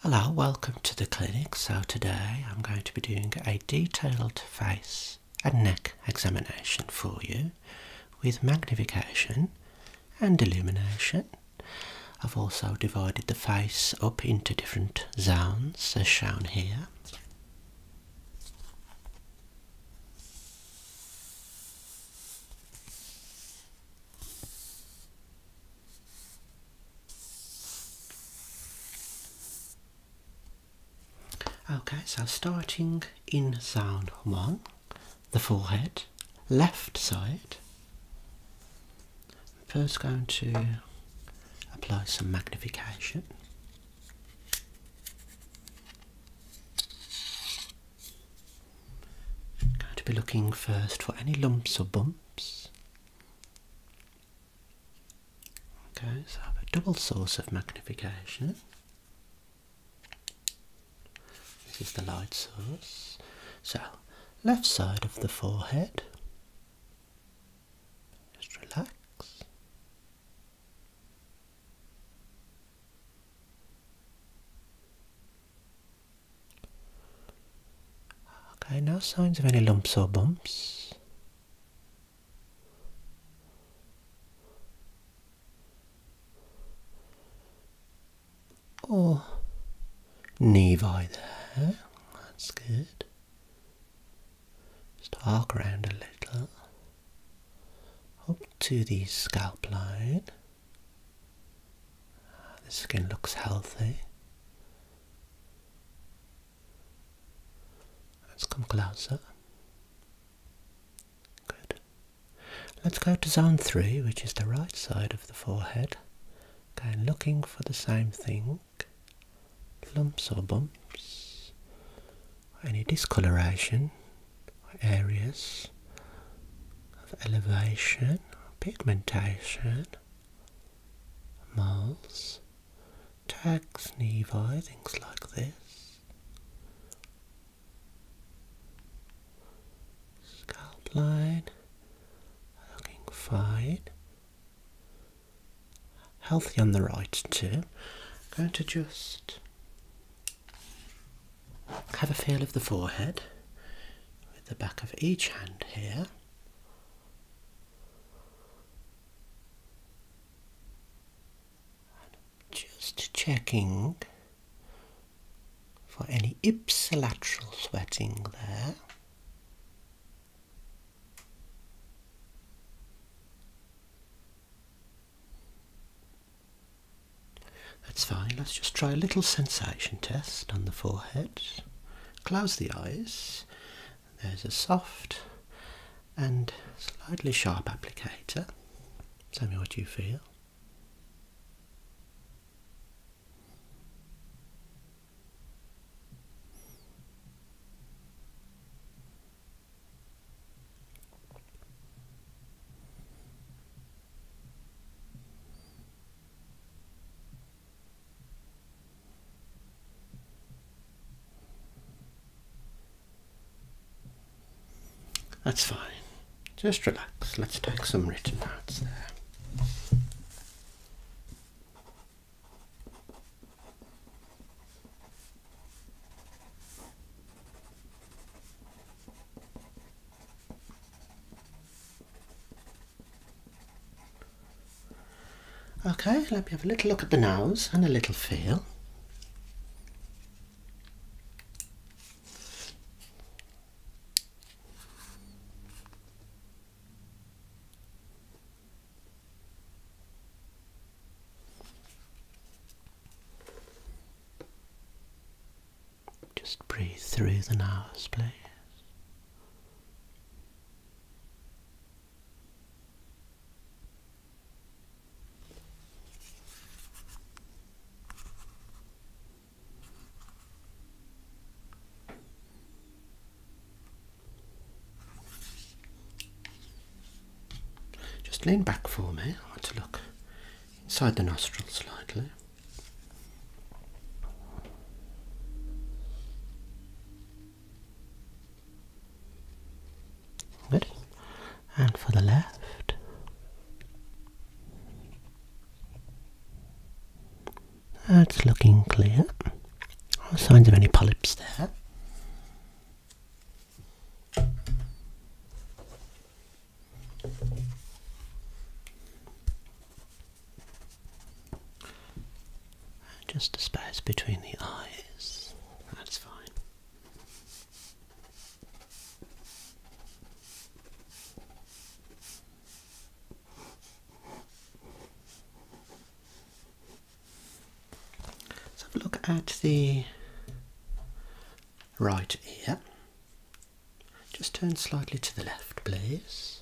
Hello, welcome to the clinic. So today I'm going to be doing a detailed face and neck examination for you with magnification and illumination. I've also divided the face up into different zones as shown here. Okay, so starting in sound one, the forehead, left side. first going to apply some magnification. I'm going to be looking first for any lumps or bumps. Okay, so I have a double source of magnification. This is the light source. So, left side of the forehead. Just relax. Okay, no signs of any lumps or bumps. Oh, nevi there, that's good. Just arc around a little up to the scalp line. The skin looks healthy. Let's come closer. Good. Let's go to zone three, which is the right side of the forehead. Okay, looking for the same thing. Lumps or bumps. Any discoloration areas of elevation, pigmentation. Mars, Tags, Nevi, things like this. Scalp line, looking fine. Healthy on the right too. going to just have a feel of the forehead with the back of each hand here. just checking for any ipsilateral sweating there. That's fine. Let's just try a little sensation test on the forehead. Close the eyes. There's a soft and slightly sharp applicator. Tell me what you feel. That's fine. Just relax. Let's take some written notes there. Okay, let me have a little look at the nose and a little feel. Just breathe through the nose, please. Just lean back for me. I want to look inside the nostrils slightly. Good. And for the left. That's looking clear. No signs of any polyps there. Just a space between the eyes, that's fine. Let's have a look at the right ear. Just turn slightly to the left, please.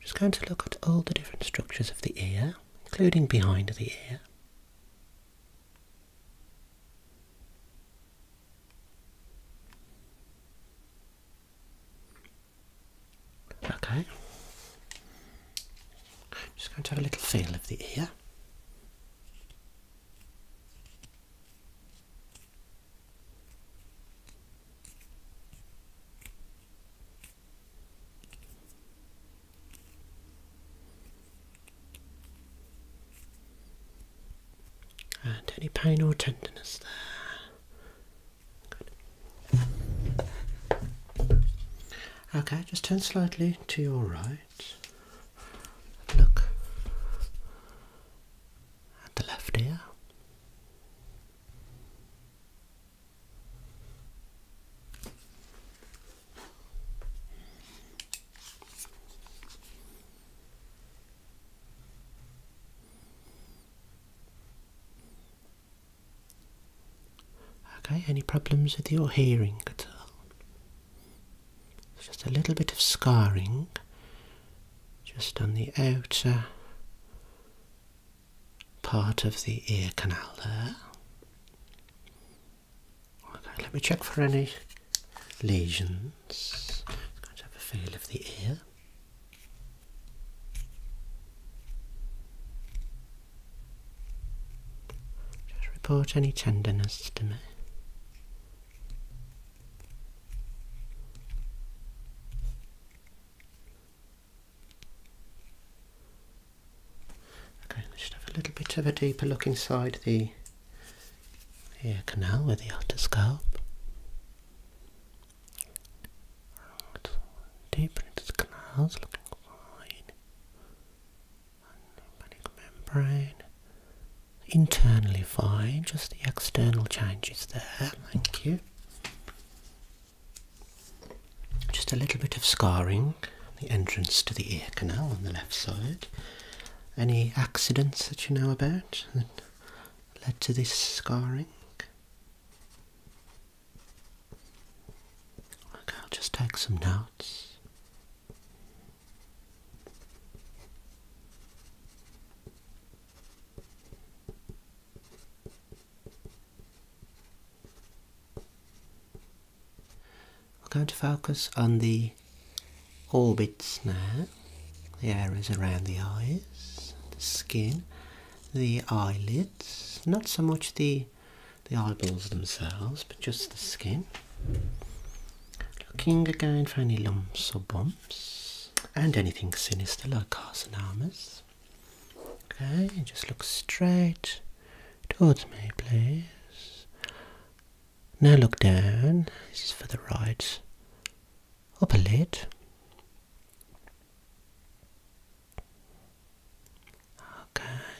Just going to look at all the different structures of the ear, including behind the ear. Okay. Just going to have a little feel of the ear. And any pain or tenderness there. Okay, just turn slightly to your right. Look at the left ear. Okay, any problems with your hearing at all? just a little bit of scarring just on the outer part of the ear canal there let me check for any lesions. I'm have a feel of the ear. Just report any tenderness to me. Okay, let's just have a little bit of a deeper look inside the ear uh, canal with the outer scalp. Right. Deeper into the canals, looking fine. Lymphatic membrane. Internally fine, just the external changes there, thank you. Okay, just a little bit of scarring, the entrance to the ear canal on the left side. Any accidents that you know about that led to this scarring? Okay, I'll just take some notes. We're going to focus on the orbits now, the areas around the eyes, the skin, the eyelids, not so much the the eyeballs themselves, but just the skin. Looking again for any lumps or bumps and anything sinister like carcinomas. Okay, just look straight towards me, please. Now look down. This is for the right upper lid. Okay.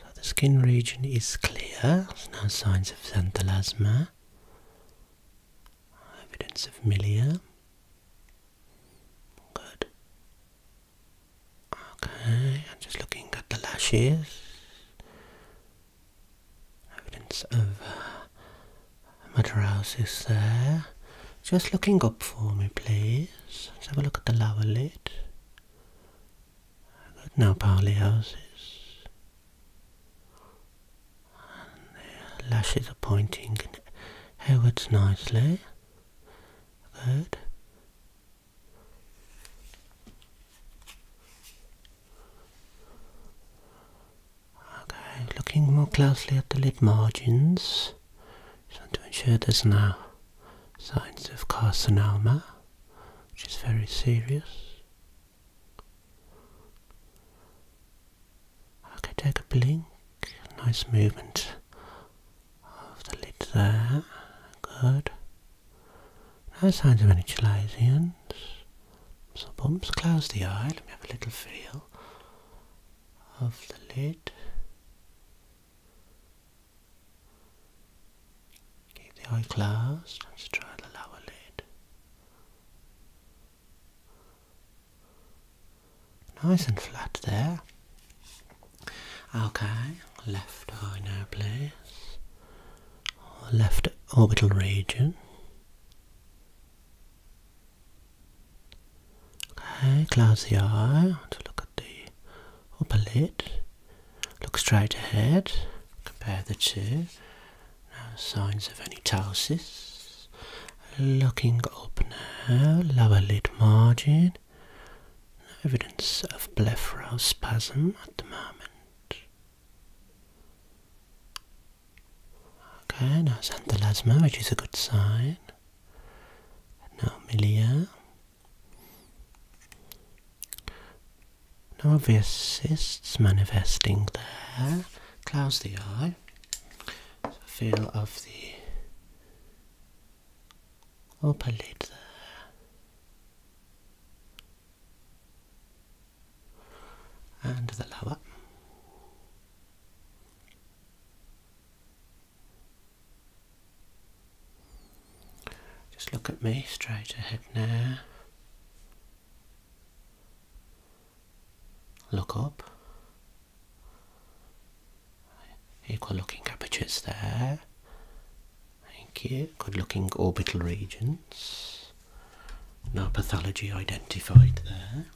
So the skin region is clear. no signs of xanthelasma. Evidence of milia. Good. Okay, I'm just looking at the lashes. Evidence of uh, metarosis there. Just looking up for me, please. Let's have a look at the lower lid. Good, now poliosis. And the lashes are pointing outwards nicely. Good. Okay, looking more closely at the lid margins. Just want to ensure there's no signs of carcinoma, which is very serious. Okay, take a blink. Nice movement of the lid there. Good. No signs of any chalazions. So bumps, close the eye. Let me have a little feel of the lid. Keep the eye closed. Let's try the lower lid. Nice and flat there. Okay, left eye now, please. Left orbital region. Okay, close the eye look at the upper lid. Look straight ahead. Compare the two. No signs of any ptosis. Looking up now, lower lid margin. No evidence of blepharospasm at the moment. Okay, now xanthelasma, which is a good sign. Now milia. No obvious cysts manifesting there. Close the eye. feel of the upper oh, lid there. And the lower. Just look at me straight ahead now. Look up equal looking apertures there. Thank you. Good looking orbital regions. No pathology identified there.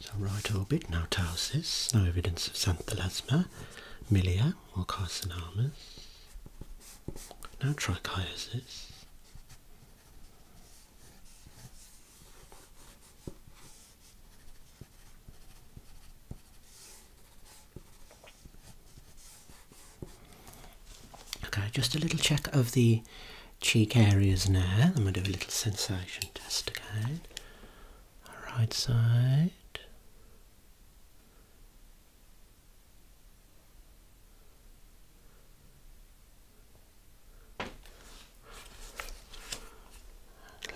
So right orbit, no ptosis, no evidence of xanthelasma, milia or carcinomas, no trichiasis. Okay, just a little check of the cheek areas now. I'm going to do a little sensation test again. Right side,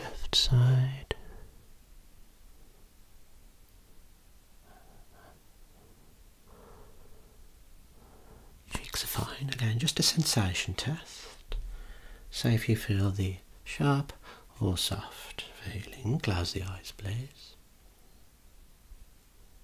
left side. Cheeks are fine. Again, just a sensation test. So, if you feel the sharp or soft feeling. Close the eyes, please.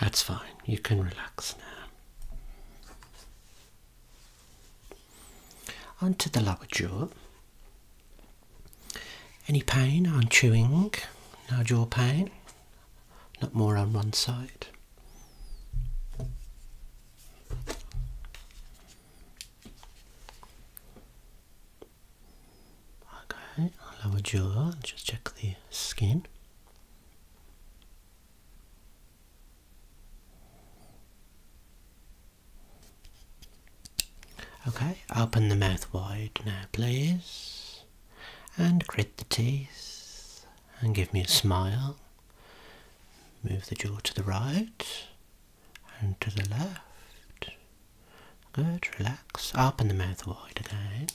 That's fine. You can relax now. Onto the lower jaw. Any pain on chewing? No jaw pain? Not more on one side. Okay, lower jaw, just check the skin. Okay, open the mouth wide now, please. And grit the teeth. And give me a smile. Move the jaw to the right and to the left. Good, relax. Open the mouth wide again.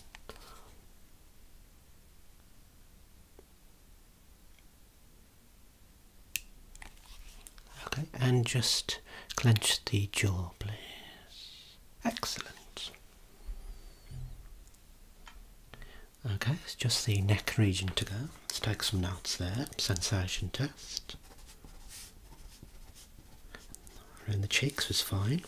Okay, and just clench the jaw, please. Excellent. Okay, it's just the neck region to go. Let's take some notes there. Sensation test. Around the cheeks was fine.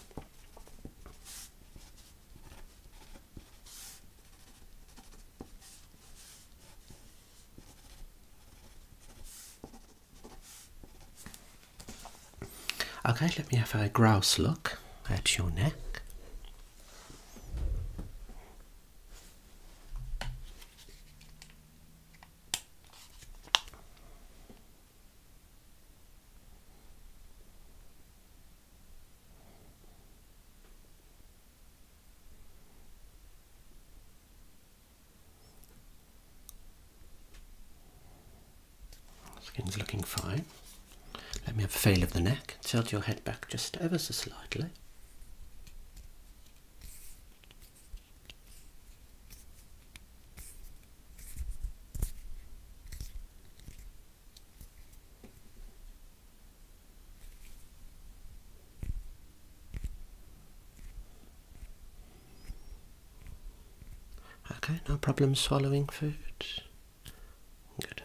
Okay, let me have a grouse look at your neck. Skin's looking fine. Let me have a feel of the neck. Tilt your head back just ever so slightly. Okay, no problem swallowing food. Good.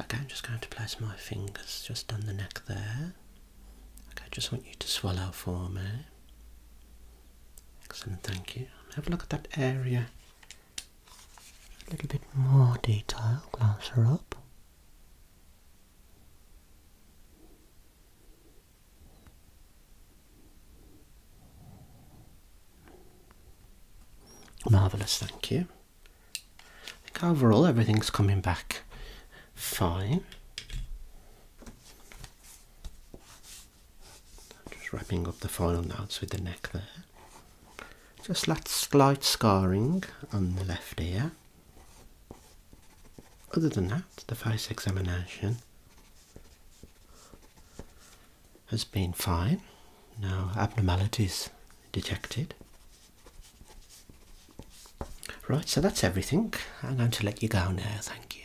Okay, I'm just going to place my fingers just on the neck there. Okay, I just want you to swallow for me. Excellent, thank you. Have a look at that area. A little bit more detail, Glance her up. Marvellous, thank you. I think overall everything's coming back fine. Just wrapping up the final notes with the neck there. Just slight scarring on the left ear. Other than that, the face examination has been fine. No abnormalities detected. Right, so that's everything. I'm going to let you go now. Thank you.